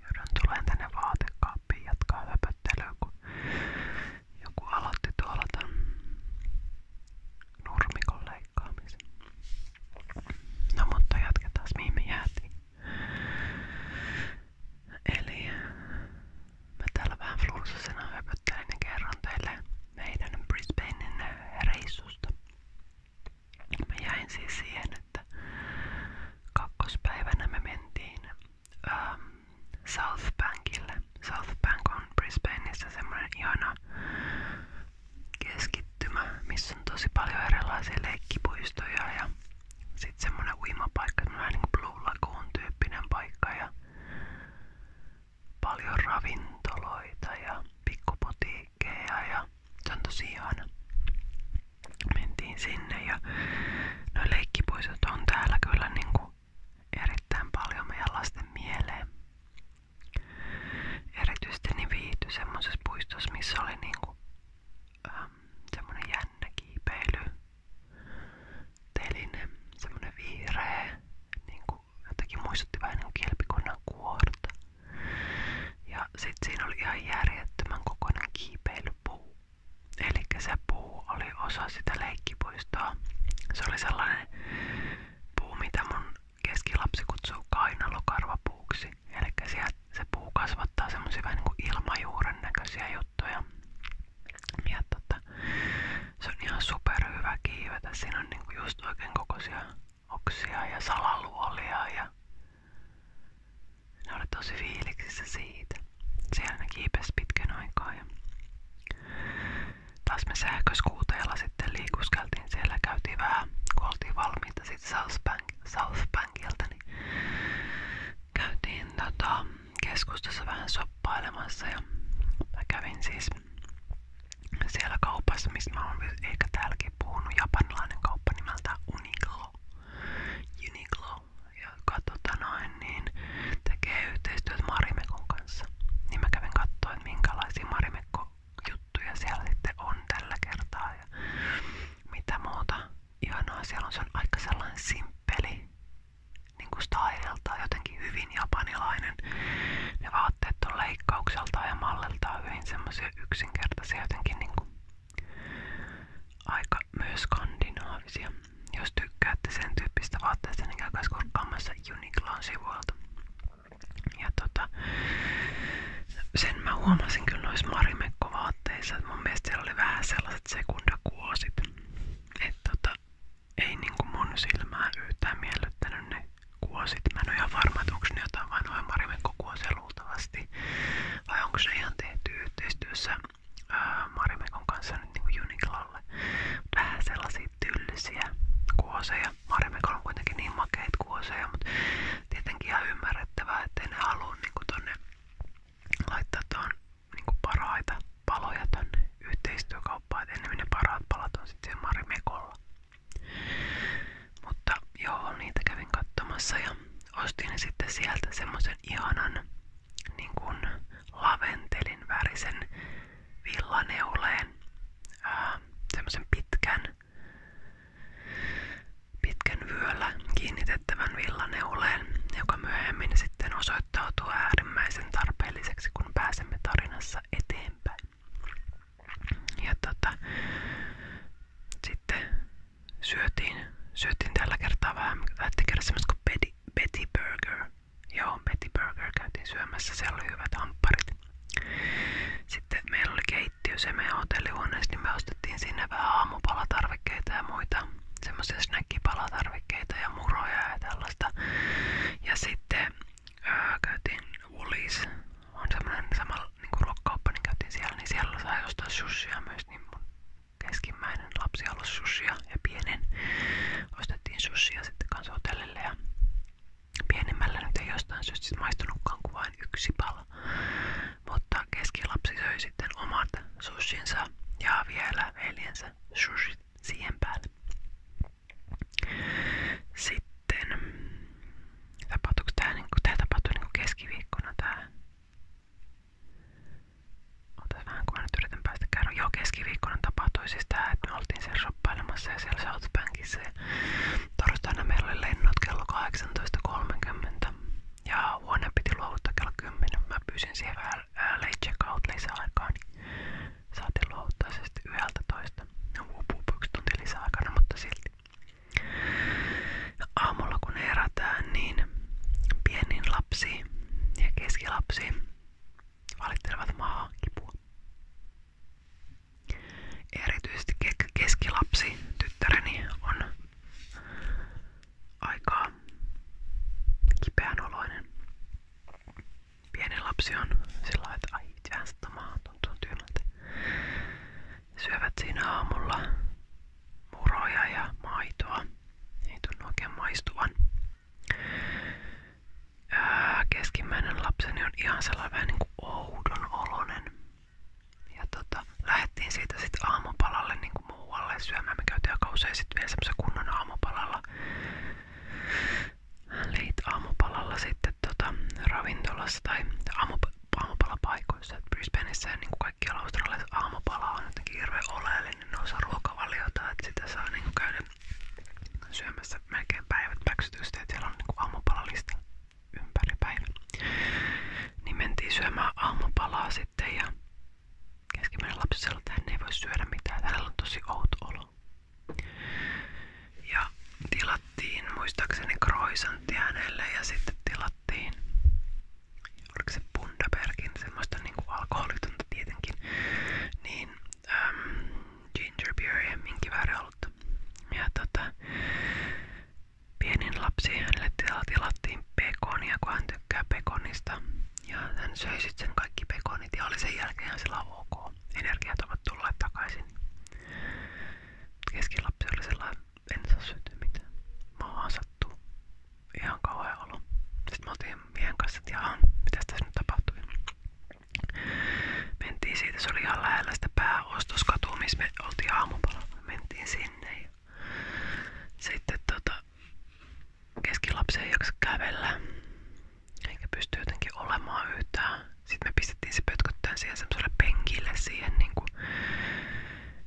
Joudun tulen tänne vaatekaappiin jatkaa höpöttelyä, kun joku aloitti tuolla ton nurmikon leikkaamisen. No mutta jatketaan mihin me jäätiin. Eli mä täällä vähän flunssasena höpöttelin ja kerron teille meidän Brisbanein reissusta. Mä jäin siis kakkospäivänä me mentiin ähm, on Brisbaneissa semmoinen ihana keskittymä, missä tosi paljon erilaisia leikkipuistoja ja sit semmonen uimapaikka, semmonen niin Blue Lagoon tyyppinen paikka ja paljon ravintoloita ja pikkuputiikkeja ja se on tosi sinne ja no leikkipuistot on täällä kyllä niinku erittäin paljon meidän lasten mieleen. Erityisesti niin viihty missä oli niinku ähm, semmonen jännä kiipeily teline, semmonen vihreä, niinku jotenkin muistutti vähän niinku kilpikonnan kuorta. Ja sit siinä oli ihan järjettömän kokoinen kiipeilypuu. Eli se puu oli osa sitä leikkipuistoa. Se sellainen puu, mitä mun keskilapsi kutsuu kainalokarvapuuksi. Eli se puu kasvattaa semmosia niin ilmajuuren näköisiä juttuja. Ja tota, se on ihan superhyvä kiivetä. Siinä on niinku just oikein oksia ja salaluolia ja ne oli tosi fiiliksissä siitä. Siellä ne kiipesi pitkän aikaa ja me sähköskuuteilla sitten liikuskeltiin siellä, käytiin vähän, kun South, Bank, South Bankilta, niin käytiin tota, vähän soppailemassa ja kävin siis siellä kaupassa, mistä mä oon ehkä täälläkin puhunut, japanilainen kauppa nimeltä Uniqlo. Uniqlo, joka tota noin, niin tekee yhteistyötä Marimekon kanssa. Niin mä kävin katsoa, että minkälaisia Marimekko-juttuja siellä sitten on tällä kertaa ja mitä muuta. Ihanaa siellä on, se on aika sellainen simppeli niinku styleltaan jotenkin hyvin japanilainen. Ne vaatteet on leikkaukseltaan ja malliltaan hyvin semmoisia yksinkertaisia jotenkin niinku aika myös skandinaavisia. Jos tykkäätte sen tyyppistä vaatteista, niin käykää siis kurkkaamassa Uniqlon sivuilta. Ja tota, sen mä huomasin kyllä Marimekko-vaatteissa, mun mielestä oli vähän sellaiset sekundakuosit. Että tota, ei niinku mun silmää yhtään kuosit. Mä en ole ihan varma, että onko ne jotain vain noin Marimekko-kuosia luultavasti vai, vai onko se ihan tehty yhteistyössä ää, Marimekon kanssa nyt niin Uniklalle. Vähän sellaisia tylsiä kuoseja. Marimekolla on kuitenkin niin makeita kuoseja, mutta tietenkin ihan ymmärrettävää, ettei ne halua niinku tonne laittaa tuon niinku paraita paloja tonne yhteistyökauppaan, että ennemmin ne paraat palat on sitten Marimekolla. Mutta joo, niitä kävin katsomassa ja ostin sitten sieltä semmoisen ihanan niin kuin laventelin värisen villaneuleen. Ää, semmoisen pitkän, pitkän vyöllä kiinnitettävän villaneuleen, joka myöhemmin sitten osoittautuu äärimmäisen tarpeelliseksi, kun pääsemme tarinassa eteenpäin. Ja tota, sitten syötiin, syötiin tällä kertaa vähän, lähti kerran semmoista Betty, Betty Burger. Joo, Betty Burger käytiin syömässä, siellä hyvät hampparit. Sitten meillä oli keittiö se meidän hotellihuoneessa, niin ostettiin sinne vähän aamupalatarvikkeita ja muita semmoisia snackipalatarvikkeita ja muroja ja tällaista. Ja sitten ää, öö, käytiin Woolies, on semmoinen sama niinku ruokakauppa, niin käytiin siellä, niin siellä sai ostaa myös, niin mun lapsi halusi sushia ja pienen ostettiin sushia sitten kanssa hotellille ja pienemmällä jostain syystä maistunutkaan kuin vain yksi pala, mutta keskilapsi söi sitten omat sushinsa ja vielä veljensä sushit siihen Sitten sitten tapahtuuko tää, niin tää tapahtuu niin keskiviikkona tää Otas vähän kun tapahtui siis että me oltiin siellä shoppailemassa ja siellä South Bankissa. Ja torstaina meillä oli lennot ja huone piti luovuttaa kello 10. Mä pyysin siihen vähän ää, late checkout niin se sitten yhdeltä toista. No, uupu, yksi tunti mutta silti. Aamulla kun herätään, niin pienin lapsi ja keskilapsi valittelevat maa kipua. Erityisesti keskilapsi, tyttäreni, on aika kipeän oloinen. Pieni lapsi on sillä lailla, että ai, tuntuu tyynältä syövät siinä aamulla muroja ja maitoa. Ei tunnu oikein maistuvan. keskimmäinen lapseni on ihan sellainen vähän niin kuin oudon olonen. Ja tota, lähdettiin siitä sitten aamupalalle niin kuin muualle syömään. Me käytiin aika usein sitten vielä semmoisen kunnon aamupalalla. Leit aamupalalla sitten tota, ravintolassa tai aamup aamupalapaikoissa. Et Brisbaneissa ja niin kuin kaikkialla Australiassa aamupala on jotenkin hirveän oleellinen osa ruokavaliota, että sitä saa niin kuin käydä syömässä melkein päivät päksytystä ja siellä on niin kuin aamupalalista ympäri päivän. Niin mentiin syömään aamupalaa sitten ja keskimmäinen lapsi sanoi, että hän ei voi syödä mitään, hänellä on tosi outo olo. Ja tilat, tilattiin muistaakseni croissantti hänelle ja sitten tilattiin oliko se Bundabergin, semmoista niin kuin alkoholitonta tietenkin, niin äm, ginger beeria, minkivääriollutta. Ja tota, pienin lapsi hänelle tilattiin pekonia, kun hän tykkää pekonista. Ja hän söi sitten sen kaikki pekonit ja oli sen jälkeen sillä ok. Energiat ovat tulleet takaisin. Keskilapsi oli sellainen en saa syntyä mitään. Mä vaan sattuu. Ihan kauhean olo. Sitten me oltiin tässä tapahtui. Mentiin siitä, se oli ihan lähellä sitä missä me oltiin aamupalalla. sinne ja sitten tota, keskilapsi ei jaksa kävellä eikä pysty jotenkin olemaan yhtään sitten me pistettiin se pötköttään siihen semmoiselle penkille siihen niinku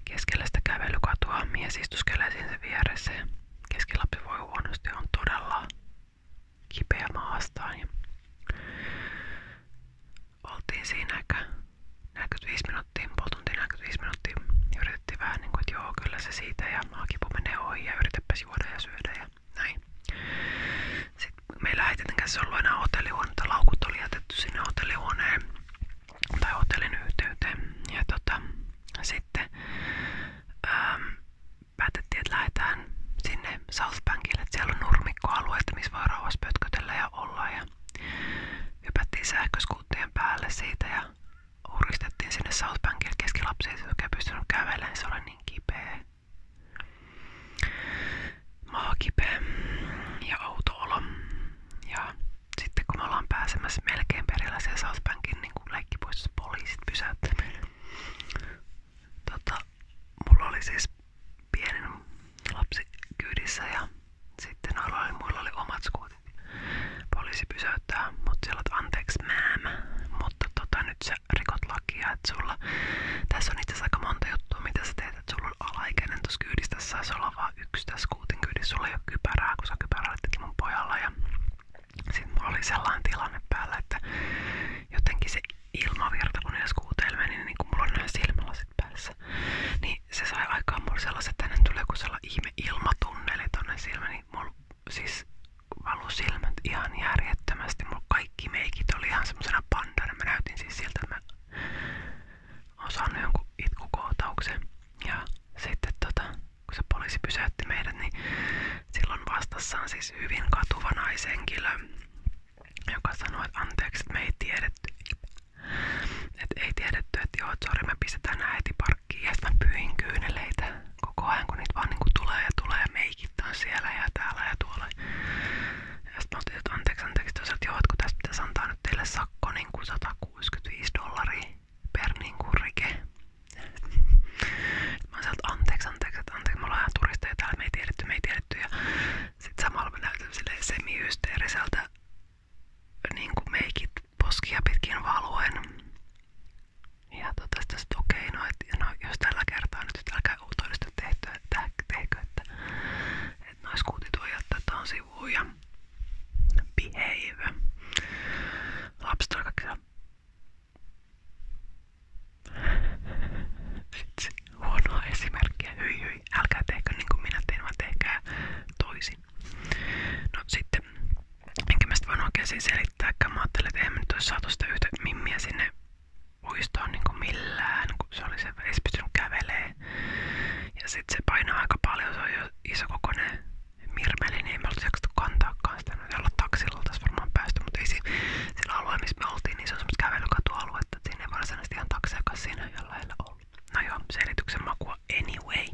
keskellä sitä kävelykatua. Mies istuskelee siinä sen vieressä ja keskilapsi voi huonosti on todella kipeä maastaan. Ja oltiin siinä ehkä 45 minuuttia, puoli tuntia 45 minuuttia ja yritettiin vähän niinku, että joo kyllä se siitä ja maakipu menee ohi ja yritepäs juoda ja syödä ja näin. Sitten meillä ei tietenkään se ollut enää hotellihuonetta, laukut oli jätetty sinne hotellihuoneen tai hotellin yhteyteen. Ja tota, sitten ähm, päätettiin, että lähdetään sinne South Bankille, että siellä on nurmikkoalueita, missä voi rauhassa pötkötellä ja olla. Ja hypättiin sähköskuuttien päälle siitä ja uristettiin sinne South Bankille keskilapsiin, jotka ei pystynyt kävelemään, se oli niin kipeä maakipeä ja outo Ja sitten kun me ollaan pääsemässä melkein perillä siellä South Bankin niin leikkipuistossa poliisit tota, oli siis pienen lapsi kyydissä ja sitten noilla oli, oli omat skuutit. Poliisi pysäyttää mut siellä mutta tota nyt sä rikot lakia, sulla tässä on itse aika monta juttua, mitä sä teet tiedät, että sulla on alaikäinen tuossa kyydissä. Tässä saisi olla vaan yksi tässä skuutin kyydissä. Sulla ei ole kypärää, kun sä kypäräilittekin mun pojalla. Ja sitten mulla oli sellainen tilanne päällä, että jotenkin se ilmavirta, kun ne skuuteilla meni, niin kun mulla on nämä silmälasit päässä, niin se sai aikaan mulle sellaiset, että tänne tulee joku sellainen ihme ilmatunneli tonne silmä, niin mulla siis valu silmät ihan järjettömästi. Mulla kaikki meikit oli ihan semmosena pandana. Mä näytin siis siltä, että mä on saanut jonkun itkukohtauksen. Ja sitten tota, kun se poliisi pysäytti meidät, niin silloin vastassa on siis hyvin katuva naishenkilö, joka sanoi, että anteeksi, että me ei tiedetty. Että ei tiedetty, että joo, että sori, me pistetään nää heti parkkiin. Ja sitten mä pyin kyyneleitä koko ajan, kun niitä vaan niinku tulee ja tulee. Meikit on siellä ja täällä ja tuolla. Jos mä oon, että anteeksi, anteeksi, että teille sakko niin kuin 165 dollaria per niin kuin rike. Mä oon sieltä anteeksi, anteeksi, että anteeksi, me ollaan ihan turisteja täällä, me ei Ja niin meikit poskia pitkin valuen. Ja tota sit okei, okay, no, no jos tällä kertaa nyt, jos tällä sitäkään uutoudesta tehtyä, että tehkö, että, että naiskuutit voi jättää tuohon sivuun ja behave. Lapset on kaikki Vitsi, huonoa esimerkkiä. Hyi hyi, älkää tehkö niin kuin minä tein, vaan tehkää toisin. No sitten, enkä mä sitä voinut oikein siis selittääkään. Mä ajattelin, että eihän me nyt olisi saatu sitä yhtä mimmiä sinne uistoon niinku millään, kun se oli se, ei kävelee. Ja sitten se painaa aika paljon, se on jo iso kokoinen mirmeli, niin ei me oltiin jaksettu kantaakaan sitä. Nyt olla taksilla oltaisiin varmaan päästy, mutta ei siinä, sillä alueella, missä me oltiin, niin se on semmoista kävelykatualuetta, että siinä ei varsinaisesti ihan takseakaan siinä jollain ollut. No joo, selityksen makua anyway.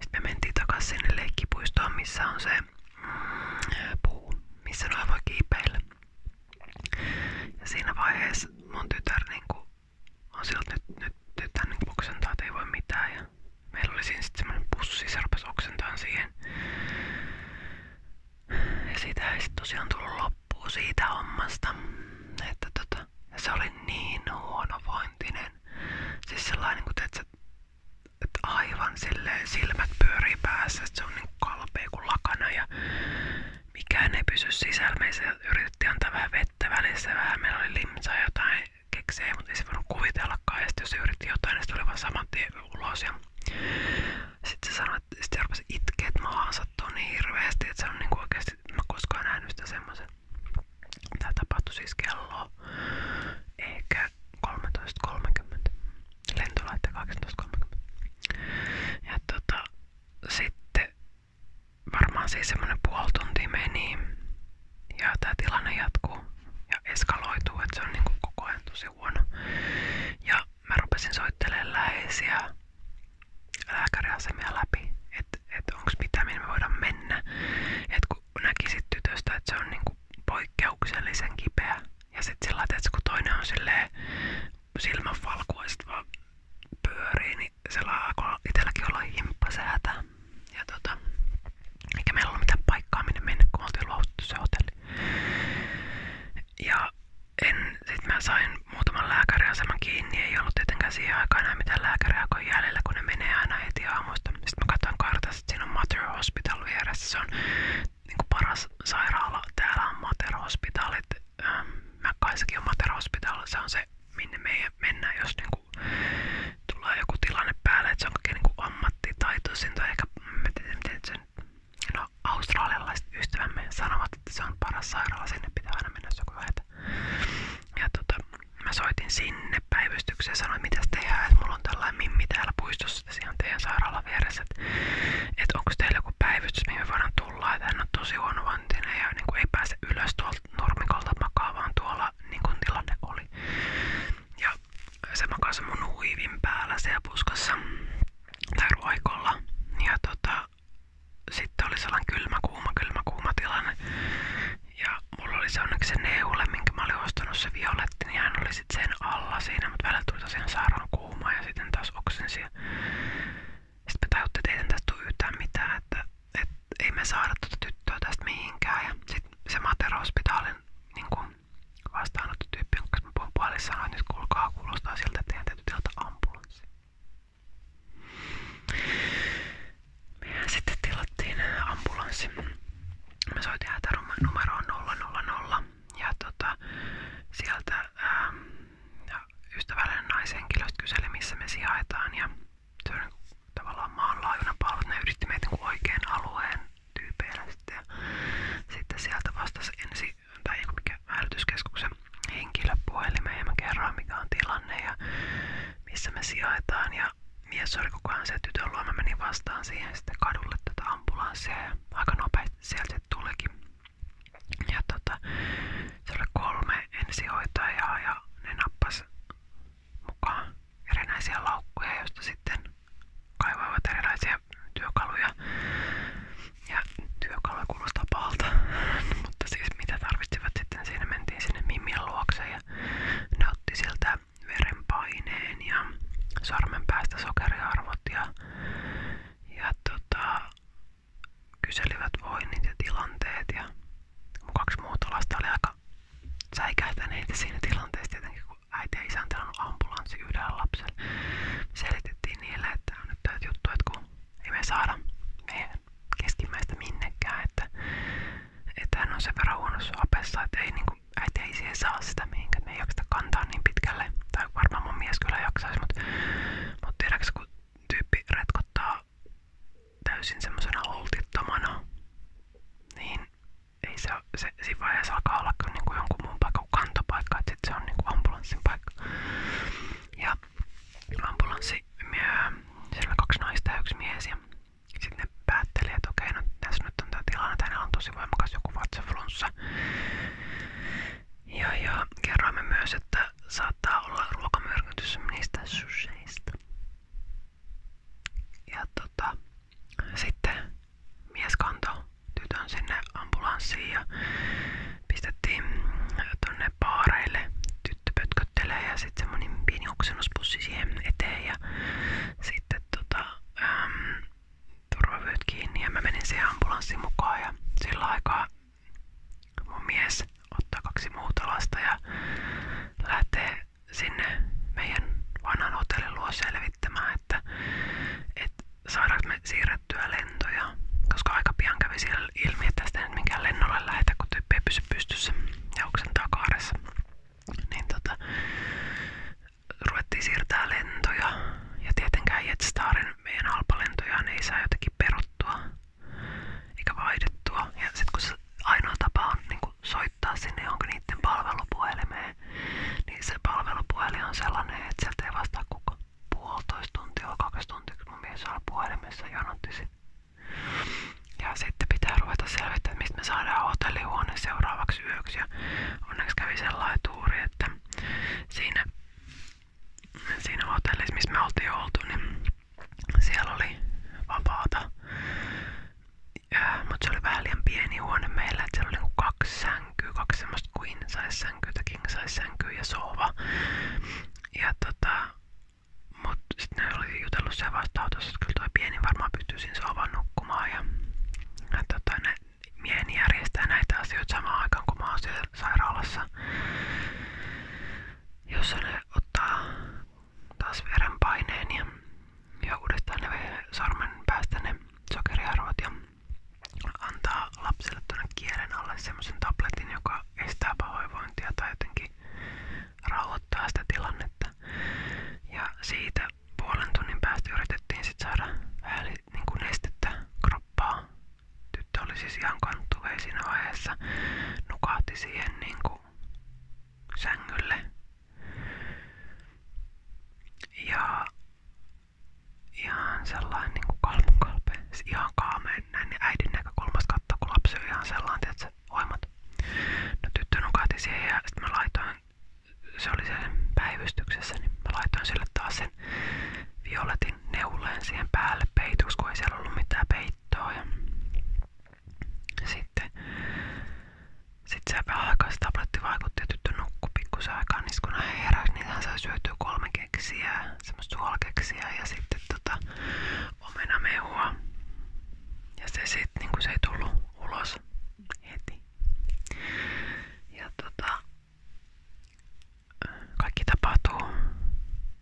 Sitten me mentiin takas sinne leikkipuistoon, missä on se mm, puu, missä noin voi kiipeillä. Ja vaiheessa mun niinku on siltä, nyt, nyt tytär niinku Ja meillä oli siinä sitten semmoinen pussi, se rupesi oksentamaan ei tosiaan tullut loppuun siitä hommasta. Että tota, se oli niin huonovointinen. Siis sellainen, kun teet, että aivan silleen silmät pyörii päässä, että se on niin kalpea kuin lakana ja mikään ei pysy sisällä. Meissä yritettiin antaa vähän vettä välissä, vähän meillä oli limsaa jotain keksejä, mutta ei se voinut kuvitellakaan. Ja sitten jos yritti jotain, niin se tuli vaan saman tien ulos. Ja sitten se sanoi, että sitten rupesi itkeä, että maahan sattuu niin hirveästi, että se on niinku oikeasti, että mä koskaan nähnyt sitä semmoisen. Tää tapahtui siis kello ehkä lento lähtee 18.30. Ja tota, sitten varmaan siis semmonen puoli tuntia meni niin, ja tää tilanne jatkuu ja eskaloituu, että se on niinku koko ajan tosi huono. Ja mä rupesin soittelemaan läheisiä lääkäriasemia läpi, että et onko mitään, minne me voidaan mennä. Et kun näkisit tytöstä, että se on niinku poikkeuksellisen kipeä. Ja sit sillä että kun toinen on silleen silmänvalkuaiset vaan pyörii, niin siellä alkoi itselläkin olla himppasäätä. Ja tota, eikä meillä ollut mitään paikkaa minne mennä, kun oltiin luovuttu se hotelli. Ja en, sit mä sain muutaman lääkäriaseman kiinni, ei ollut tietenkään siihen aikaan enää mitään lääkäriä, kun jäljellä, kun ne menee aina heti aamusta. Sitten mä katsoin kartasta, että siinä on Mother Hospital vieressä, se on niinku paras sairaala täällä on Mater-hospitaalit. Mäkkäissäkin on Mater-hospitaal. Se on se, minne me mennään, jos niinku tulee joku tilanne päälle. se on kaikkein niinku ammattitaitoisin tai ehkä miten sen no, australialaiset ystävämme sanovat, se on paras sairaala. Sinne pitää aina mennä, Ja tota, mä soitin sinne päivystykseen ja sanoin, mitä tehdään, että mulla on tällainen mimmi täällä puistossa just tässä ihan et onko teillä joku päivystys, että on tosi huonovantinen ja niin kuin ei pääse ylös tuolta niin kuin oli. Ja se makasi mun huivin päällä siellä puskassa tai Ja tota, sitten oli sellainen kylmä kuuma, kylmä Ja mulla se onneksi se neule, minkä mä olin ostanut se violetti, niin hän oli sitten sen alla siinä, mutta välillä tuli tosiaan sairaan kuumaa sitten taas oksensia. Sitten me tajuttiin, että ei että, että ei me saada tuota tyttöä tästä mihinkään. Ja sitten se Matero-hospitaalin niin vastaanottotyyppi, jonka mä puhun puolin, sanoi, nyt kuulkaa, kuulostaa siltä, että teidän ambulanssi. Mehän sitten tilattiin ambulanssi. Me soitin hätänumeroon 000 ja tota, sieltä ää, ähm, ystävällinen naishenkilöstä kyseli, missä me sijaitaan ja se on tavallaan maanlaajuinen palvelu, ne yritti meitä niinku oikean alueen tyypeillä sitten ja sitten sieltä vastasi ensi tai joku mikä hälytyskeskuksen henkilöpuhelimeen ja mä kerroin mikä on tilanne ja missä me sijaitaan ja mies oli koko ajan se tytön luo, mä menin vastaan siihen sitten kadulle tätä ambulanssia ja aika nopeasti sieltä tulikin. Ja tota, se oli kolme ensihoitajaa ja ne nappas mukaan erinäisiä laukkuja, joista sitten kaivoivat erilaisia työkaluja. Ja työkaluja kuulostaa pahalta, mutta siis mitä tarvitsivat sitten siinä mentiin sinne Mimmin luokse ja ne otti sieltä verenpaineen ja sormen päästä sokeriarvot ja ja tota, kyselivät voinnit tilanteet ja mun kaksi muuta lasta oli aika säikähtäneitä siinä tilanteessa tietenkin, kun ambulanssi yhdellä lapselle. Me niille, että on nyt täytyy juttu, että me saada meidän minnekään, että, että on sen verran huonossa apessa, että ei, niin saa sitä mihinkään me ei jaksa kantaa niin pitkälle. Tai varmaan mun mies kyllä jaksaisi, mutta mut tiedäks kun tyyppi retkottaa täysin semmosena holtittomana, niin ei se, se siinä vaiheessa alkaa olla kyllä niinku jonkun muun paikan kantopaikka, että sit se on niinku ambulanssin paikka. Ja ambulanssi, siellä oli kaksi naista ja yksi mies ja sitten ne päätteli, että okei, no tässä nyt on tää tilanne, hänellä on tosi voimakas joku vatsaflunssa. Ja, ja kerroimme myös, että saattaa olla ruokamyrkytys niistä susheista. Ja tota, sitten mies kantoi tytön sinne ambulanssiin ja pistettiin tonne paareille. Tyttö pötköttelee ja sitten semmonen pieni oksennuspussi siihen eteen ja sitten tota, äm, turvavyöt kiinni ja mä menin siihen ambulanssin mukaan ja sillä aikaa mun mies ottaa kaksi muuta lasta ja lähtee sinne meidän vanhan hotellin luo selvittämään, että, että saadaanko me siirrettyä lentoja, koska aika pian kävi siellä ilmi, että tästä ei minkään lennolle lähetä, kun tyyppi ei pysy pystyssä ja oksentaa kaaressa. Niin tota, ruvettiin siirtää lentoja ja tietenkään Jetstarin meidän halpalentojaan ei saa jotenkin peruttua eikä vaihdettua. Ja sitten kun se ainoa tapa on niin soittaa sinne johonkin niiden palvelupuhelimeen, niin se palvelupuhelin on sellainen, että sieltä ei vastaa kukaan puolitoista tuntia, kaksi tuntia, kun mun mies oli puhelimessa jonottisi. Ja sitten pitää ruveta selvittämään, mistä me saadaan hotellihuone seuraavaksi yöksi. Ja onneksi kävi sellainen tuuri, että siinä, siinä hotellissa, missä me oltiin oltu, niin siellä oli vapaata. Mutta se oli vähän liian pieni huone meillä, että siellä oli niinku kaksi sänkyä, kaksi semmoista queen size sänkyä, king size sänkyä ja sohva. Ja tota, mut sit ne oli jutellut sen vasta autossa, että kyllä toi pieni varmaan pystyy siinä sohvan nukkumaan ja, ja tota, ne mieheni järjestää näitä asioita samaan aikaan, kun mä oon siellä sairaalassa, jossa ne ottaa taas verenpaineen ja, ja uudestaan ne sormen päästä ne sokeriarvot ja antaa lapselle tuonne kielen alle semmoisen tabletin, joka estää pahoinvointia tai jotenkin rauhoittaa sitä tilannetta. Ja siitä puolen tunnin päästä yritettiin sit saada vähän niinku kroppaa. Tyttö oli siis ihan kanttuvei siinä vaiheessa. Nukahti siihen niinku sängylle. Ja ihan sellainen niinku kalpun kalpe. Siis ihan kaameen näin niin äidin näkökulmasta katsoa, kun lapsi on ihan sellainen, että se no tyttö nukahti siihen ja sitten mä laitoin se oli siellä päivystyksessä, niin mä laitoin sille taas sen violetin neuleen siihen päälle peitoksi, kun ei siellä ollut mitään peittoa. Ja sitten sit se vähän aikaa se tabletti vaikutti ja tyttö nukkui pikkusen aikaa, niin kun hän heräsi, niin hän sai syötyä kolme keksiä, semmoista suolakeksiä ja sitten tota omenamehua. Ja se sitten, niin kun se ei tullut ulos heti, ja tota, kaikki tapahtuu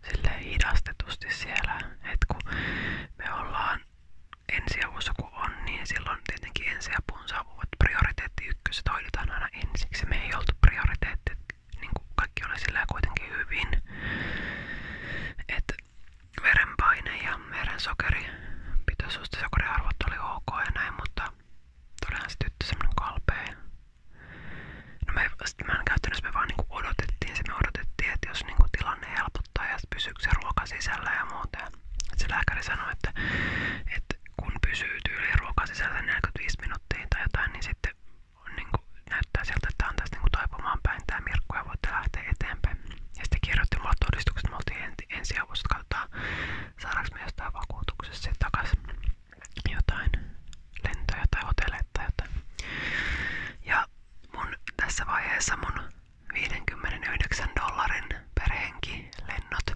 sille hidastetusti siellä, että kun me ollaan ensiavussa kun on, niin silloin tietenkin ensiapun saavuvat prioriteetti ykköset hoidetaan aina ensiksi. Me ei oltu prioriteetti, niin kuin kaikki oli sillä kuitenkin hyvin. Et verenpaine ja verensokeri, pitoisuus ja sokeriarvot oli ok ja näin, mutta Todella se tyttö semmonen kalpea. No me, sit mä en käyttänyt, me vaan niinku odotettiin se, me odotettiin, että jos niinku tilanne helpottaa ja pysyykö se ruoka sisällä ja muuta. Ja se lääkäri sanoi, että, että kun pysyy tyyli ruoka sisällä 45 minuuttia tai jotain, niin sitten on niinku, näyttää siltä, että on tässä niinku taipumaan päin tämä Mirkku ja voitte lähteä eteenpäin. Ja sitten kirjoitti mulle todistukset, me oltiin ensiavussa, että katsotaan saadaanko me jostain vakuutuksesta takaisin jotain lentoja tai hotelleja tai jotain. Ja mun tässä vaiheessa mun 59 dollarin per henki lennot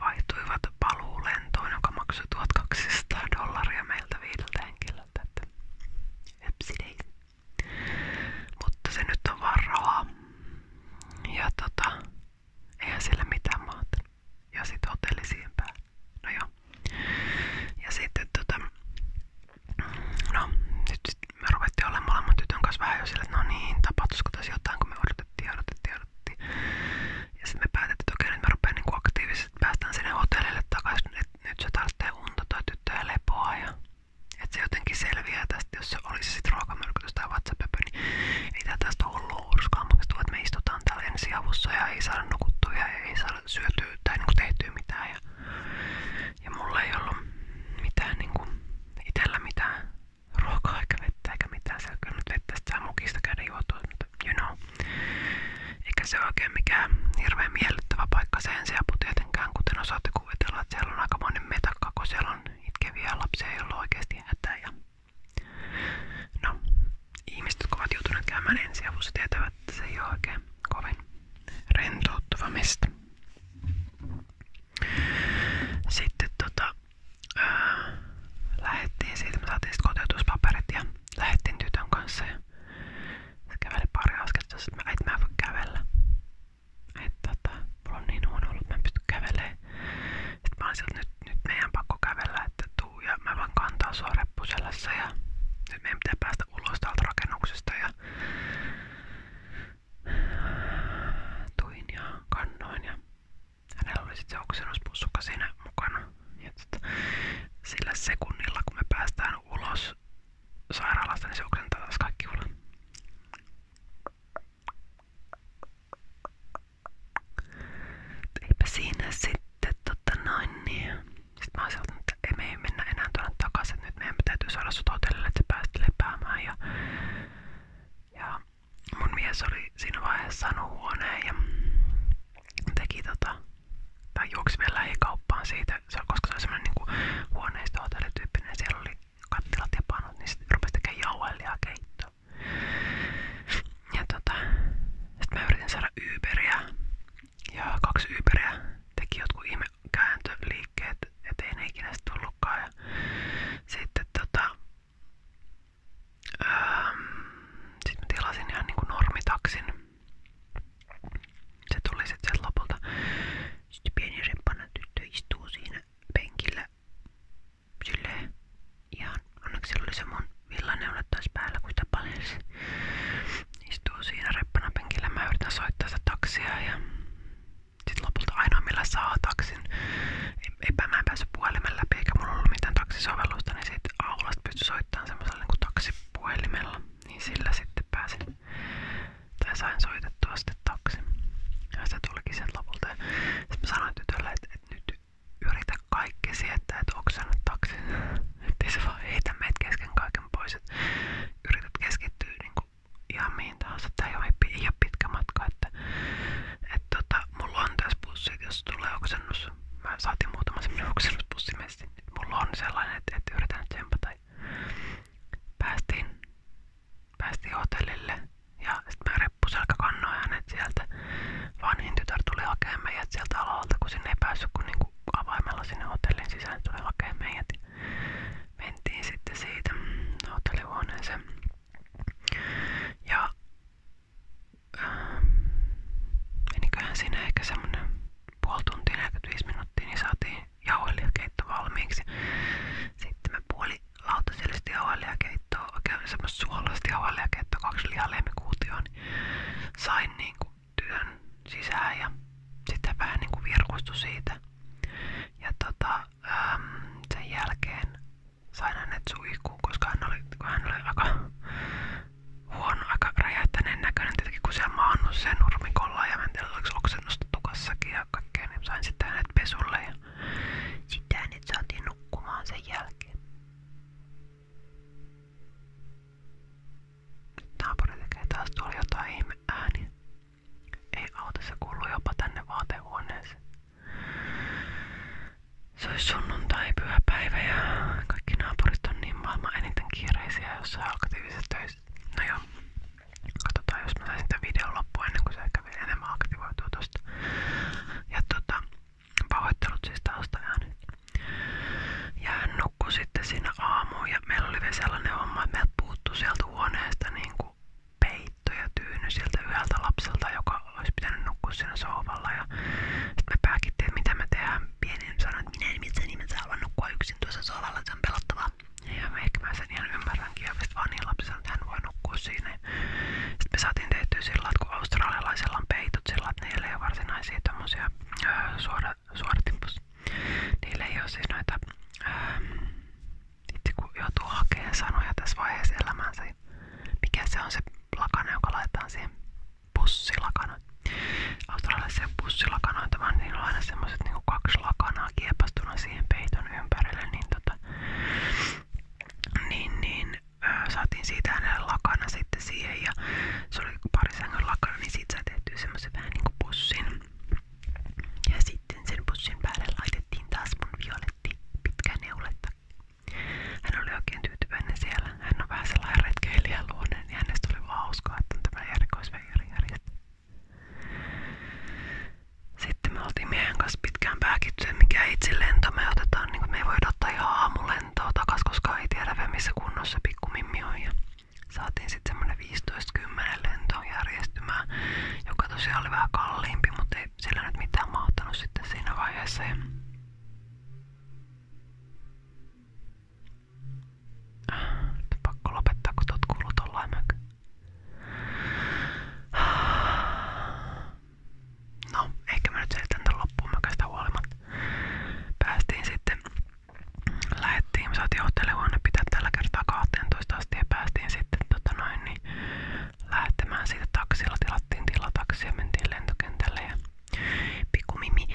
vaihtuivat paluulentoon, joka maksoi 1200 dollaria meiltä viideltä henkilöltä. Että Ypsidei. Mutta se nyt on vaan rahaa. Ja tota, Eihän sillä mitään maata. Ja sit No Ja sitten tota... No, me ruvettiin olemaan molemmat tytön kanssa vähän jo sillä, että no niin, tapahtuisiko tässä jotain, kun me odotettiin, odotettiin, odotettiin. me päätettiin, että okei, me rupeaa niinku aktiivisesti, päästään sinne hotellille takaisin, että nyt se tarvitsee unta tai tyttöä lepoa ja että se jotenkin selviää tästä podcast, jos se olisi sit ruokamyrkytys tai vatsapöpö, niin ei tää tästä ollut hurskaa maksettu, että me istutaan täällä ensiavussa ja ei saada nukuttua ja ei saada syötyä tai niinku tehtyä mitään. Ja, mulla ei ollut mitään niinku itellä mitään ruokaa eikä vettä eikä mitään. Siellä kyllä nyt vettä saa mukista you know. Eikä se oikein mikään hirveän miellyttävä paikka se ensiapu tietenkään, kuten osaatte kuvitella, että siellä aika monen metakka, kun siellä on itkeviä lapsia, ei ollut oikeasti hätää. Ja no, ihmiset, jotka ovat joutuneet käymään ensiavussa, tietävät, että se ei ole oikein kovin rentouttava mesta. Sitten tota, ää, lähettiin siitä, me saatiin sitten kotoutuspaperit ja lähettiin tytön kanssa ja se käveli pari askelta, että mä, et mä voi kävellä että tota, mulla on niin huono ollut, että mä en pysty kävelemään. Sitten mä olin sieltä, nyt, nyt meidän pakko kävellä, että tuu ja mä voin kantaa sua reppuselässä ja nyt meidän pitää päästä ulos täältä rakennuksesta ja tuin ja kannoin ja hänellä oli sitten se oksennuspussuka siinä mukana. Ja sit, sillä sekunnilla kun me päästään ulos sairaalasta, niin se oksentaa taas kaikki ulos. Eipä siinä sitten, tota niin. että ei me enää tuonne takaisin, että nyt meidän täytyy saada Ja, ja mun mies oli siinä vaiheessa huoneen teki tota, tai juoksi vielä lähikauppaan siitä, koska se oli semmonen niinku huoneistohotellityyppinen ja siellä oli kattilat ja panut, niin sitten rupesi tekemään jauhelia keittoa. Ja tota, sit mä yritin saada Uberia. Ja kaksi Uberia teki jotkut ihme kääntöliikkeet, ettei ne ikinä sit tullutkaan. sitten tota, öö, sit mä tilasin ihan niinku normitaksin. Se tuli sitten lopulta. Sitten pieni reppana tyttö istuu siinä penkillä silleen ihan, onneksi sillä oli se mun villaneulat taas päällä, kun sitä paljelsi. Istuu siinä reppana penkillä, mä yritän soittaa sitä taksia ja sit lopulta ainoa millä saa taksin, eipä mä en päässyt puhelimen läpi eikä mulla ollut mitään taksisovellusta, niin sit aulasta pystyi soittamaan semmoisella niin taksipuhelimella, niin sillä sitten pääsin tai sain soitettua sitten taksi. Ja se tulikin sen lopulta. Sitten mä sanoin tytölle, että, että nyt yritä kaikki että et oksennut taksin. Ettei se vaan heitä meitä kesken kaiken pois. Et yrität keskittyä niinku ihan mihin tahansa. Tää ei ole, ei ole pitkä matka. Että, et tota, mulla on tässä bussi, jos tulee oksennus. Mä saatiin muutama semmonen oksennuspussimessi. Mulla on sellainen, että et yritän tsempata. Päästiin Päästiin hotellille ja sitten mä reppuselkä kannoin hänet sieltä. Vanhin tytär tuli hakemaan meidät sieltä alalta, kun sinne ei päässyt kun niinku hotellin sisään tuli hakemaan meidät. Mentiin sitten siitä hotellihuoneeseen. Ja äh, meniköhän siinä ehkä semmonen puoli tuntia, 45 minuuttia, niin saatiin jauhelihkeitto valmiiksi. Sitten me puoli lautasellisesti jauhelia keittoa, oikein kaksi lihaa niin Sain niinku työn sisään ja sitten vähän niinku virkustui siitä. Ja tota, sen jälkeen sain hänet suihkuun, koska hän oli, kun hän aika huono, aika räjähtäneen näköinen tietenkin, kun siellä maannut sen ja mä en tiedä, oliko oksennus tukassakin ja kaikkea, niin sain sitten hänet pesulle ja sitten hänet saatiin nukkumaan sen jälkeen. Naapuri tekee taas tuolla jotain ihme ääniä. Ei auta, se kuuluu jopa tänne vaatehuoneeseen. Se olisi sunnuntai, pyhäpäivä ja kaikki naapurit on niin maailman eniten kiireisiä jossain aktiivisessa töissä. No joo. Katsotaan, jos mä saisin tämän loppuun ennen kuin se ehkä vielä Ja tota, pahoittelut siis Ja hän sitten siinä aamuun ja meillä oli vielä sellainen homma, että meiltä puuttuu huoneesta niinku peitto ja yhdeltä lapselta, joka olisi pitänyt nukkua siinä Ja me pääkittiin, että mitä me tehdään. pienin sanoi, että minä en mitään nimessä halua nukkua yksin tuossa sohvalla, se on pelottavaa. Ja ehkä mä sen ihan ymmärränkin ja vasta vanhin lapsi että että kun australialaisilla on peitot sillä että niillä ei ole varsinaisia tommosia öö, suora, suoratimpus. Niillä ei ole siis sanoja tässä vaiheessa elämänsä, niin mikä se on se lakana, joka laitetaan siihen pussilakana. Australialaisia pussilakanoita, vaan niillä on aina semmoset niinku kaksi lakanaa kiepastuna siihen peiton ympärille, niin tota, muuta. Niin, niin ö, saatiin siitä hänelle lakana sitten siihen ja se oli pari sängyn lakana, niin siitä sai tehtyä semmoisen vähän niinku pussin. Ja sitten sen pussin päälle laitettiin taas mun violetti pitkä neuletta. Hän oli oikein tyytyväinen siellä. Hän on vähän sellainen retkeilijä luonne, niin hänestä oli vaan hauskaa, että on tämä erikoisveijari järjestetty. Sitten me oltiin miehen kanssa pitkään pääkitty, mikä itse lento me otetaan, niin kuin me ei voida ottaa ihan aamulentoa takas, koska ei tiedä vielä missä kunnossa pikkumimmi on. Ja saatiin sitten semmonen 15-10 lento järjestymään, joka tosiaan oli vähän kalliimpi, mutta ei sillä nyt mitään mahtanut sitten siinä vaiheessa. Ja ah, Nyt on pakko lopettaa, kun tuot kuuluu tollain mökö. No, ehkä mä nyt selitän tän loppuun mökästä huolimatta. Päästiin sitten, lähettiin, me saatiin hotellihuone pitää tällä kertaa päästiin sitten tota noin, niin lähtemään siitä taksilla. Tilattiin tilataksi ja mentiin lentokentälle ja pikku mimi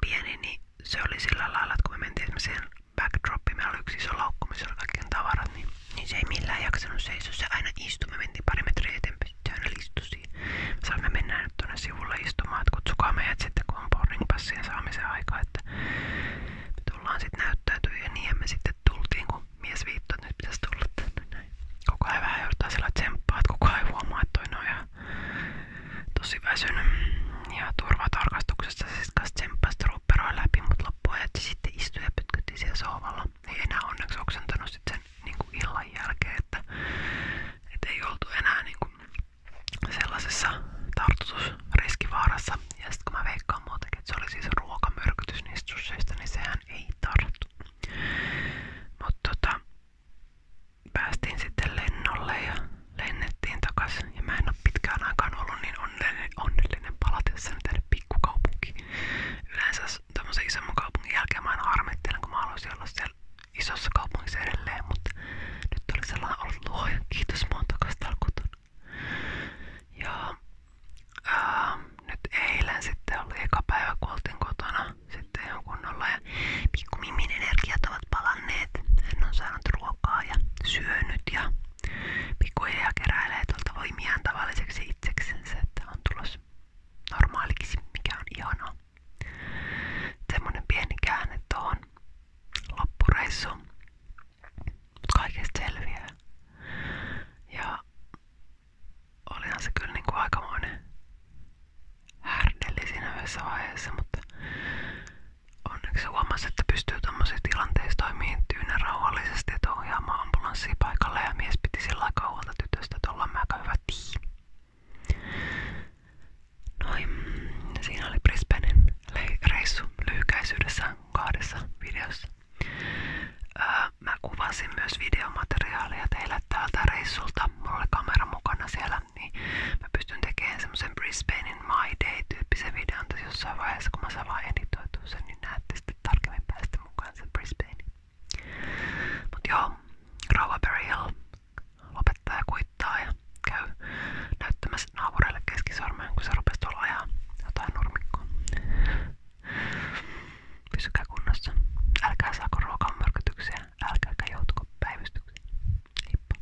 pieni, niin se oli sillä lailla, että kun me mentiin backdroppi, meillä oli yksi iso laukku, missä oli kaikkien tavarat, niin, niin aina istui, me mentiin pari metriä eteenpäin, se aina istui siihen. Mä sanoin, sitten, kun on boarding passien aika, että tullaan sitten näyttäytyy ja niin ja sitten tultiin, kun mies viittoi, että nyt pitäisi tulla tänne sillä tsemppaa, että kukaan ei huomaa, että toi on Ja turvatarkastuksessa se naiset kanssa tsemppasi trupperoa läpi, mutta loppuajat sitten istui ja pytkytti siellä sohvalla. Ei enää onneksi oksentanut sit sen niin kuin illan jälkeen, että et ei oltu enää niin kuin sellaisessa tartutusriskivaarassa. Ja sitten kun mä veikkaan muutenkin, että se oli siis ruokamyrkytys niistä susseista, niin sehän ei tartu. Mutta tota, päästiin sitten lennolle ja lennettiin takas taas. Ja mä en ole pitkään ollut niin onnellinen, onnellinen palatessani tänne pikkukaupunkiin. Yleensä tämmöisen isomman kaupungin jälkeen mä aina harmittelen, kun mä olla siellä isossa kaupungissa edelleen, mutta nyt oli sellainen ollut luoja. Kiitos, mä oon Ja nyt eilen sitten oli eka päivä, kun kotona sitten ihan kunnolla ja pikku Mimin energiat ovat palanneet. Hän on saanut ruokaa ja syönyt ja Pikkuhiljaa keräilee tuolta voimiaan tavalliseksi itseksensä, että on tulos normaaliksi, mikä on ihanaa. Semmonen pieni käänne tuohon loppureissuun. Kaikesta selviää. Ja olihan se kyllä niinku aikamoinen härdelli siinä yhdessä vaiheessa, mutta Onneksi huomasi, että pystyy tuommoisissa tilanteissa toimimaan tyynen rauhallisesti, että ohjaamaan paikalle ja mies piti sillä kaualta että ollaan me aika hyvä tiimi. Noin, reissu lyhykäisyydessä kahdessa videossa. mä kuvasin myös videomateriaalia teille täältä reissulta. Mulla kamera mukana siellä, niin mä pystyn tekemään semmoisen Brisbane pienen My Day-tyyppisen videon tässä jossain vaiheessa, kun mä saan vaan editoitua sen, niin näette sitten tarkemmin päästä mukaan sen Brisbane. Mut joo, Rova Berry Hill lopettaa ja kuittaa ja käy näyttämässä naapureille keskisormen, kun se rupesi tuolla ajaa jotain nurmikkoa. Pysykää kunnossa. Älkää saako ruokamyrkytyksiä, älkääkä joutuko päivystykseen. Heippa.